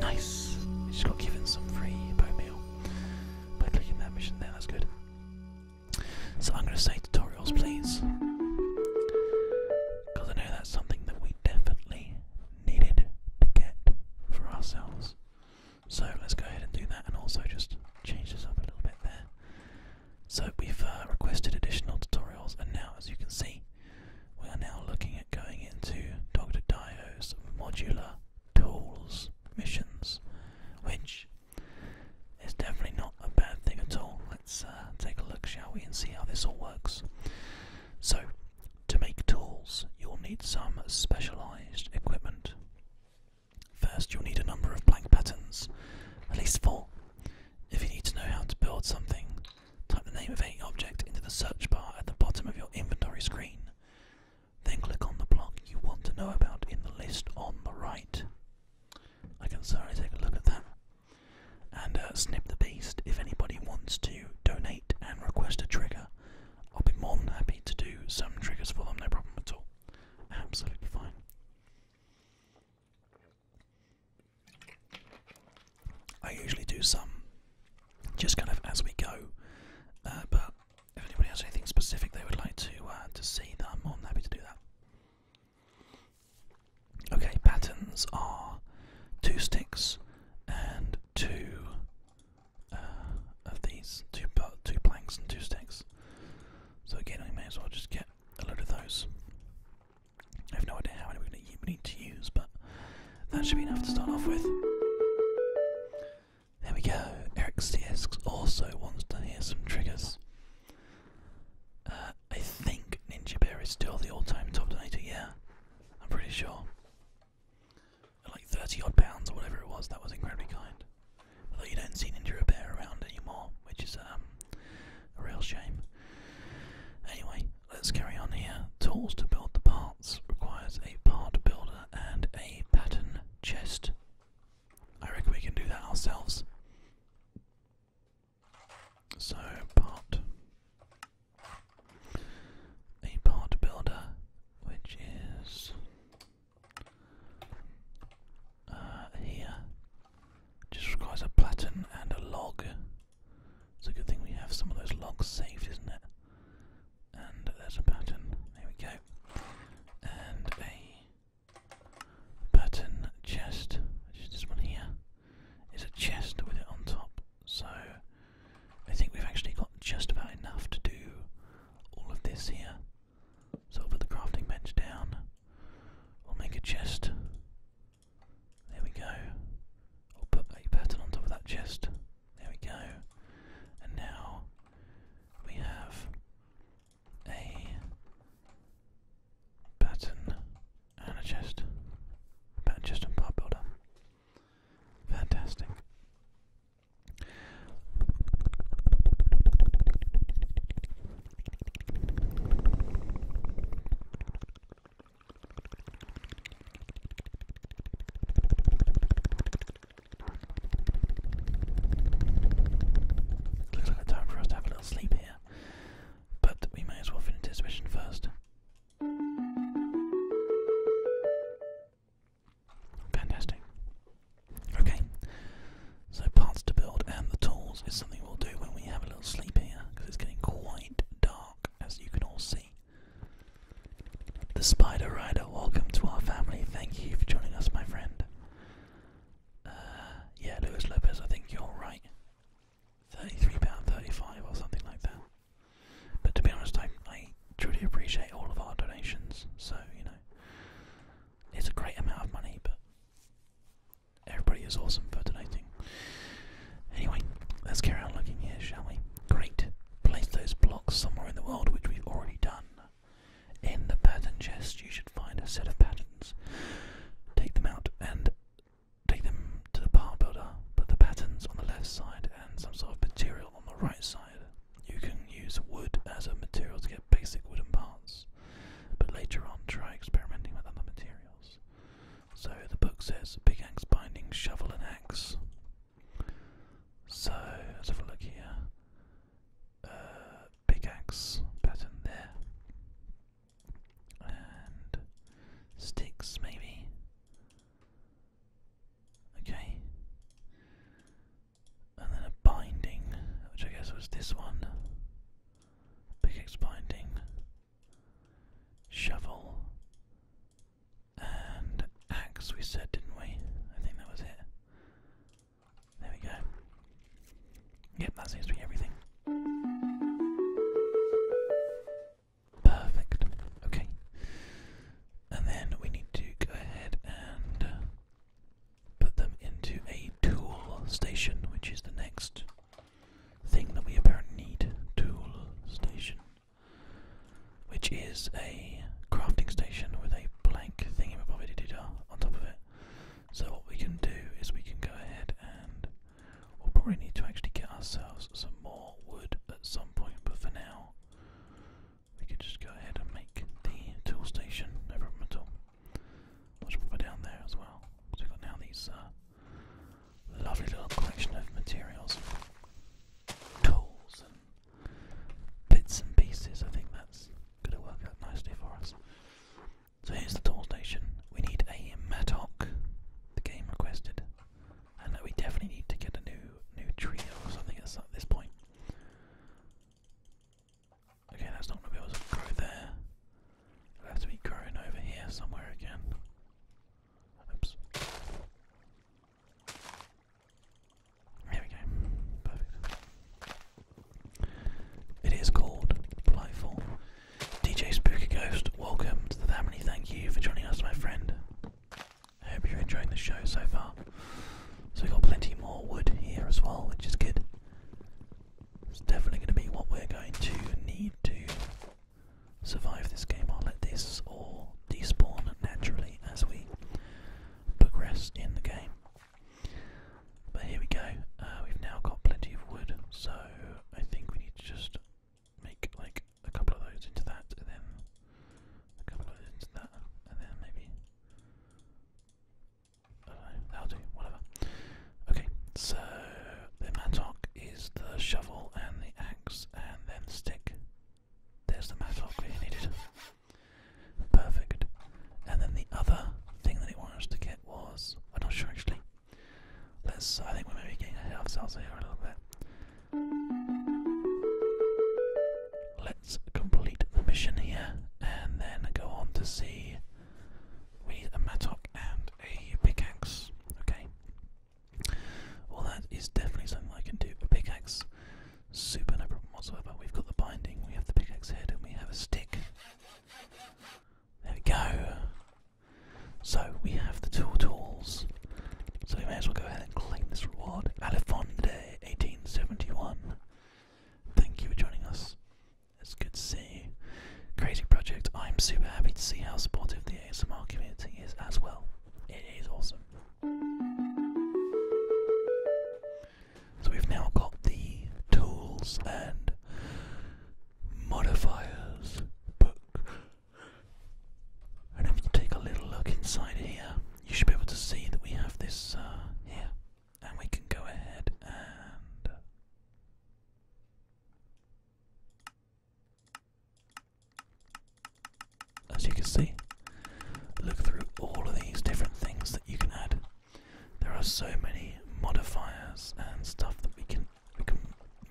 Nice. just got given some free bow meal by clicking that mission there, that's good. So I'm going to say tutorials, please. Because I know that's something that we definitely needed to get for ourselves. So let's go ahead and do that and also just change this up a little bit there. So we've uh, requested additional tutorials and now as you can see we are now looking at going into Dr. Dio's modular tools missions which is definitely not a bad thing at all. Let's uh, take a look shall we and see how this all works. So to make tools you'll need some specialized equipment. First, you'll need a number of blank patterns, at least four. If you need to know how to build something, type the name of any object into the search bar at the bottom of your inventory screen. Then click on the block you want to know about in the list on the right. I can certainly take a look at that. And uh, Snip the Beast, if anybody wants to donate and request a trigger, I'll be more than happy to do some triggers for them, no problem at all. Absolutely fine. I usually do some just kind of as we go, uh, but if anybody has anything specific they would like to uh, to see, I'm more than happy to do that. Okay, patterns are two sticks and two uh, of these two two planks and two sticks. So again, we may as well just get a load of those. I have no idea how many we're going to need to use, but that should be enough to start off with. There we go. Eric CS also wants to hear some triggers. Uh, I think Ninja Bear is still the all-time top donator. Yeah, I'm pretty sure. like thirty odd pounds or whatever it was. That was incredibly kind although you don't see Ninja Repair around anymore, which is um, a real shame. Anyway, let's carry on here. Tools to build the parts requires a part builder and a pattern chest. I reckon we can do that ourselves. So, part. A part builder, which is uh, here. Just requires a platen and a log. It's a good thing we have some of those logs saved, isn't it? And there's a pattern. There we go. And a pattern chest, which is this one here, is a chest with it on top. So I think we've actually got just about enough to do all of this here. So I'll put the crafting bench down. I'll make a chest. There we go. I'll put a pattern on top of that chest. There we go. And now we have a pattern and a chest. Pattern chest and part builder. Fantastic. Looks like a time for us to have a little sleep here, but we may as well finish this mission first. Fantastic. Okay, so parts to build and the tools is something we'll do when we have a little sleep here, because it's getting quite dark, as you can all see. The Spider Rider, welcome to our family. Thank you for joining us, my friend. Uh, yeah, Luis Lopez, I think you're right. £33.35 or something like that. But to be honest, I I truly appreciate all of our donations. So, you know, it's a great amount of money, but everybody is awesome for donating. Anyway, let's carry on looking here, shall we? Great. Place those blocks somewhere in the world, which we've already done. In the pattern chest, you should find a set of patterns. Take them out and take them to the power builder. Put the patterns on the left side and some sort of material on the right side. You can use wood as a material to get basic wooden parts, but later on try experimenting with other materials. So the book says big axe binding, shovel and axe. So let's have a look here. Uh, pattern there. And sticks maybe. Okay and then a binding, which I guess was this one. Pickaxe binding, shovel, and axe, we said, didn't we? I think that was it. There we go. Yep, that seems to be everything. Perfect. Okay. And then we need to go ahead and uh, put them into a tool station, which is the next thing that we apparently need. Tool station. Which is a crafting station with a blank thingy on top of it. So what we can do is we can go ahead and we'll probably need to actually get ourselves some more wood at some point, but for now we could just go ahead and make the tool station no problem at all. I'll down there as well. So we've got now these uh, lovely little collection of materials, tools, bits and pieces. I think that's going to work out nicely for us. So here's the tool station. We need a mattock. The game requested. And we definitely need to get a new new trio or something at this point. Okay, that's not going to be able to grow there. It'll have to be growing over here somewhere again. Oops. Here we go. Perfect. It is called Blightful. DJ Spooky Ghost, welcome to the family. Thank you for joining us, my friend. I hope you're enjoying the show so far. So we've got plenty more wood here as well, which is good. It's definitely going to be what we're going to need to survive this game. I'll let this all despawn naturally as we progress in the game. But here we go. Uh, we've now got plenty of wood, so I think we need to just make like a couple of those into that, and then a couple of those into that, and then maybe. I will do, whatever. Okay, so the mattock is the shovel and the axe and then the stick. There's the mattock we needed. Perfect. And then the other thing that he wanted to get was I'm not sure actually. Let's I think we're maybe getting ahead of ourselves here a little bit. Let's complete the mission here and then go on to see. We a mattock and a pickaxe. Okay. Well, that is definitely something I can do. A pickaxe, super no problem whatsoever. We've got the binding, we have the pickaxe head, and we have a stick. There we go. So we have the two tools. So you may as well go ahead and claim this reward. Alifonde, 1871. Thank you for joining us. It's good to see you. Crazy project. I'm super happy to see how supportive the ASMR community is as well. It is awesome. So we've now got the tools and modifiers book and if you take a little look inside here, you should be able to see that we have this uh, here. And we can go ahead and. Uh, as you can see, look through all of these different things that you can add. There are so many modifiers and stuff that we can we can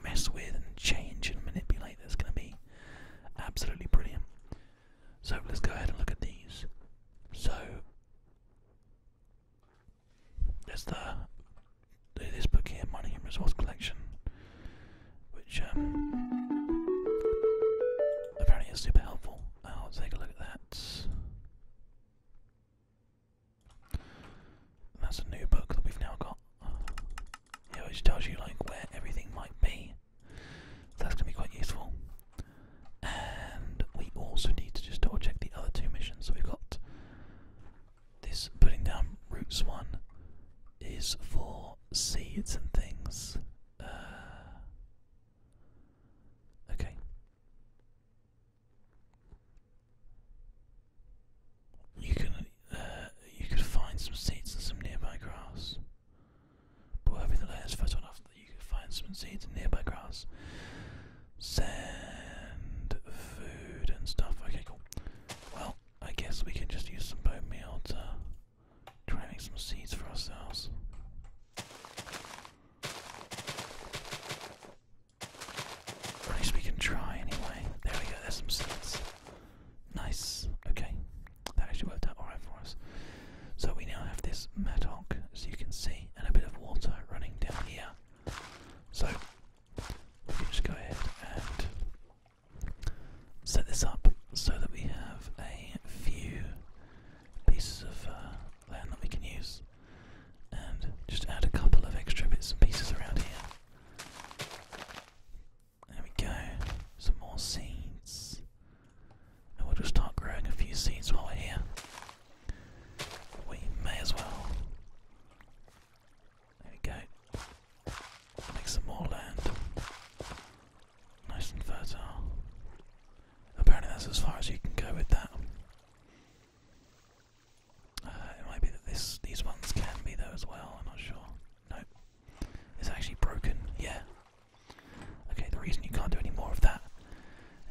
mess with and change and manipulate. There's going to be Absolutely brilliant. So let's go ahead and look at these. So there's the this book here, Mining and Resource Collection, which um, apparently is super helpful. I'll take a look at that. That's a new book that we've now got. It always tells you like where everything might be. that's gonna be quite useful. And we also need to just double check the other two missions. So we've got this putting down roots one is for seeds and things. Uh, okay you can uh, you could find some seeds in some nearby grass. But the layers first one off that you could find some seeds in nearby grass. Send food and stuff. Okay, cool. Well, I guess we can just use some bone meal to try some seeds for ourselves. At least we can try anyway. There we go, there's some seeds. Nice. Okay, that actually worked out alright for us. So we now have this mattock, as you can see, and a bit of water running down here. So we can just go ahead and set this up so that we have a few pieces of uh, land that we can use, and just add a couple of extra bits and pieces around here. There we go. Some more seeds. And we'll just start growing a few seeds while we're here. We may as well. There we go. Make some more land. Nice and fertile. Apparently that's as far as you can go with that. Uh, it might be that this these ones can be there as well, I'm not sure. No. It's actually broken, yeah. Okay, the reason you can't do any more of that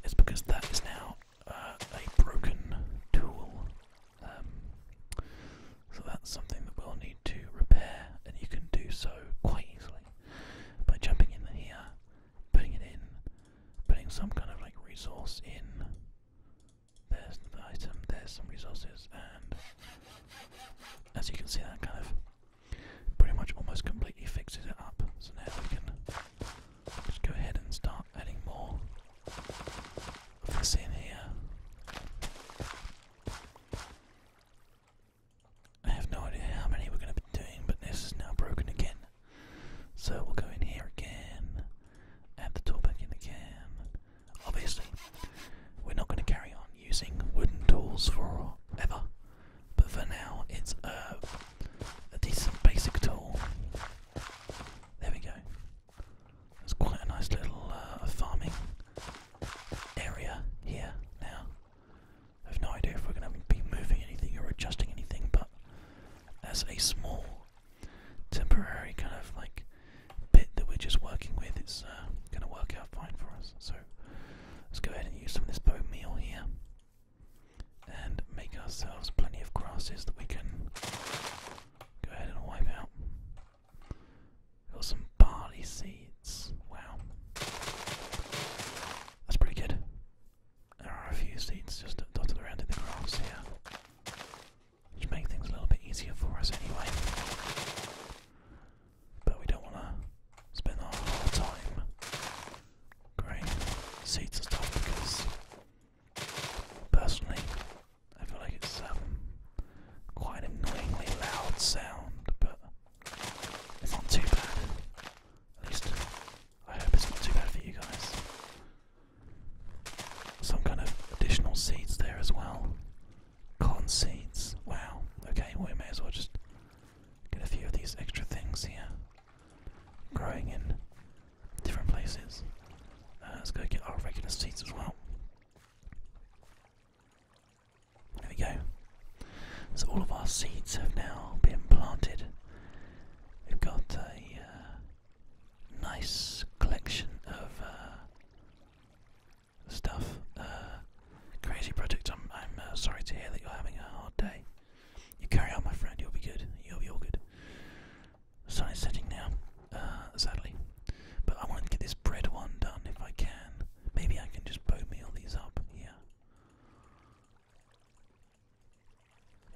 is because that is now uh, a broken tool. Um, so that's something that we'll need to repair, and you can do so quite easily by jumping in here, putting it in, putting some kind of like resource in. There's the item, there's some resources, and as you can see that kind of pretty much almost completely fixes it up. So now we can just go ahead and start adding more of this in here. I have no idea how many we're going to be doing, but this is now broken again. So we'll go in here again, add the tool back in again, Obviously, we're not going to carry on using wooden tools forever, but for now it's a, decent basic tool. There we go. It's quite a nice little uh, farming area here now. I have no idea if we're going to be moving anything or adjusting anything, but as a small temporary kind of like bit that we're just working with, it's uh, going to work out fine for us. So let's go ahead and use some of this bone meal here and make ourselves plenty of grasses that we can go ahead and wipe out. Got some barley seeds. Wow. That's pretty good. There are a few seeds just dotted around in the grass here which make things a little bit easier for us anyway. But we don't want to spend our whole time growing seeds and stuff personally, I feel like it's um, quite annoyingly loud sound, but it's not too bad. At least, I hope it's not too bad for you guys some kind of additional seeds there as well. Cotton seeds. Wow. Okay, well, we may as well just get a few of these extra things here. Growing in different places. Uh, let's go get our regular seeds as well. There we go. So all of our seeds have now been planted. We've got a uh, nice collection of uh, stuff. Uh, crazy project. I'm uh, sorry to hear that you're having a hard day. You carry on, my friend. You'll be good. You'll be all good. sun is setting now, sadly. But I want to get this bread one done if I can. Maybe I can just bowmeal these up here.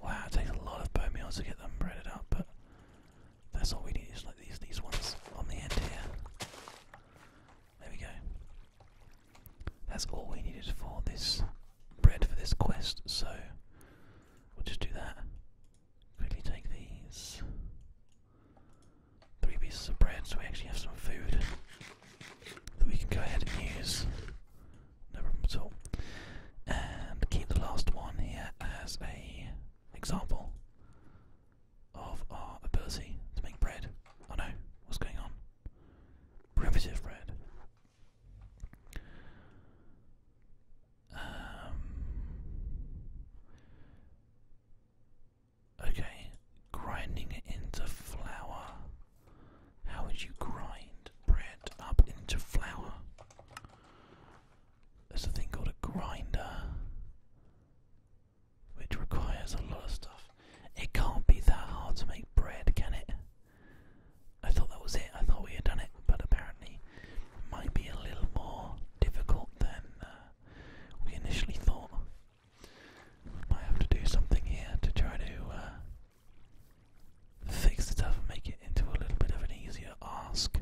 Wow, it takes a lot of bone meals to get them breaded up, but that's all we need is like these these ones on the end here. There we go. That's all we needed for this bread for this quest, so we'll just do that. Quickly take these three pieces of bread so we actually have some food that we can go ahead and use. No problem at all. And keep the last one here as a example of our ability to make bread. Oh no, what's going on? Primitive bread. Um, okay, grinding it into flour. How would you grind bread up into flour? There's a thing called a grinder, which requires a lot of stuff. It can't be that hard to make bread, can it? I thought that was it. I thought we had done it, but apparently it might be a little more difficult than uh, we initially thought. might have to do something here to try to uh, fix it up and make it into a little bit of an easier ask.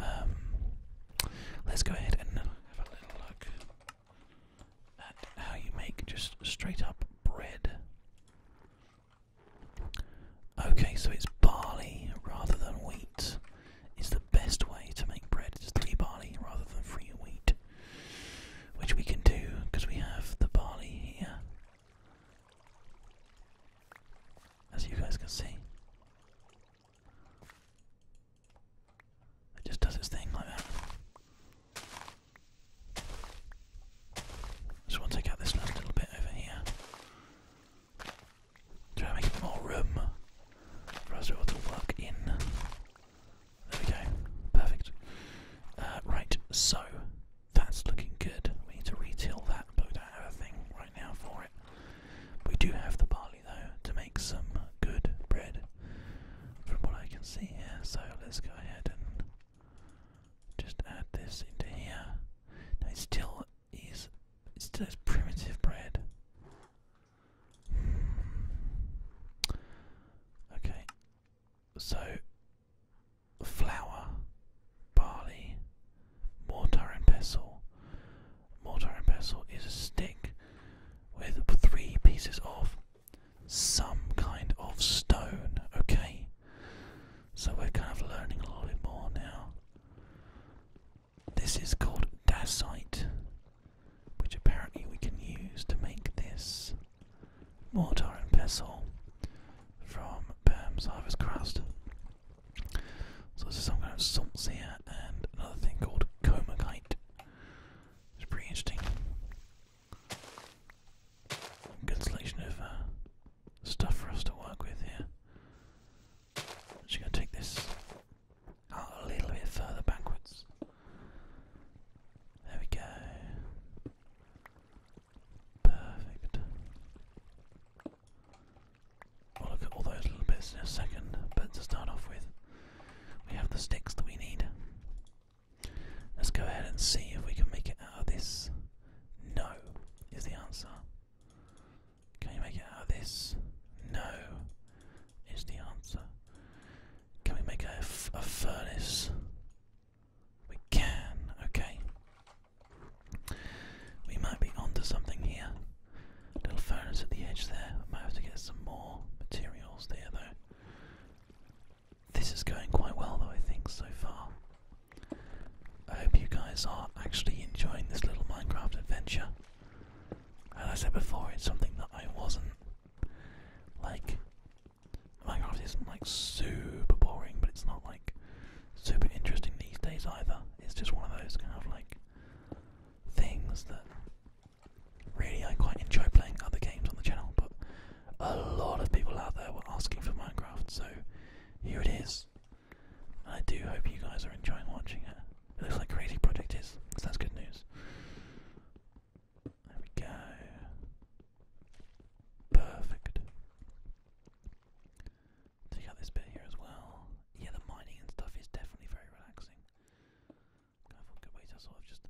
Um, let's go ahead and have a little look at how you make just straight up bread. Okay, so it's barley rather than wheat is the best way to make bread. It's three barley rather than three wheat, which we can do because we have the barley here as you guys can see. It just does its thing like that. Just want to take out this last little bit over here. Try to make more room for us to be work in. There we go. Perfect. Uh, right, so that's looking good. We need to retile that, but we don't have a thing right now for it. We do have the barley though to make some good bread, from what I can see here. So let's go ahead and just add this into here. Now it still is, it still is primitive bread. Hmm. Okay, so flour, barley, mortar and pestle. Mortar and pestle is a stick with three pieces of some kind of stone, okay? So we're kind of learning a little bit more now. This is called dacite, which apparently we can use to make this mortar and pestle from Pam's Harvest Crust. So this is some kind of salt here and another thing called comacite. It's pretty interesting. Good selection of uh, stuff for us to work with here. i just going to take this out a little bit further backwards. There we go. Perfect. We'll look at all those little bits in a second, but to start off with, we have the sticks that we need. Let's go ahead and see if we can make it out of this. No, is the answer. Can you make it out of this? No, is the answer. Can we make a, a furnace? We can, okay. We might be onto something here. little furnace at the edge there. I might have to get some more materials there though. This is going quite well though, I think, so far. I hope you guys are actually enjoying this little Minecraft adventure. As I said before, it's something that I wasn't like Minecraft isn't like super boring, but it's not like super interesting these days either. It's just one of those kind of like things that really I quite enjoy playing other games on the channel, but a lot of people out there were asking for Minecraft, so here it is. I do hope you guys are enjoying watching it. It looks like Crazy Project is, so that's good news. There we go. Perfect. Take out this bit here as well. Yeah, the mining and stuff is definitely very relaxing. good way to sort of just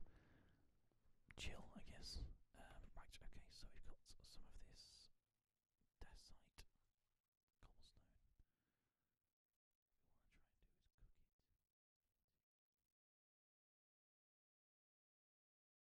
chill, I guess. Um, right, okay, so we've got some of this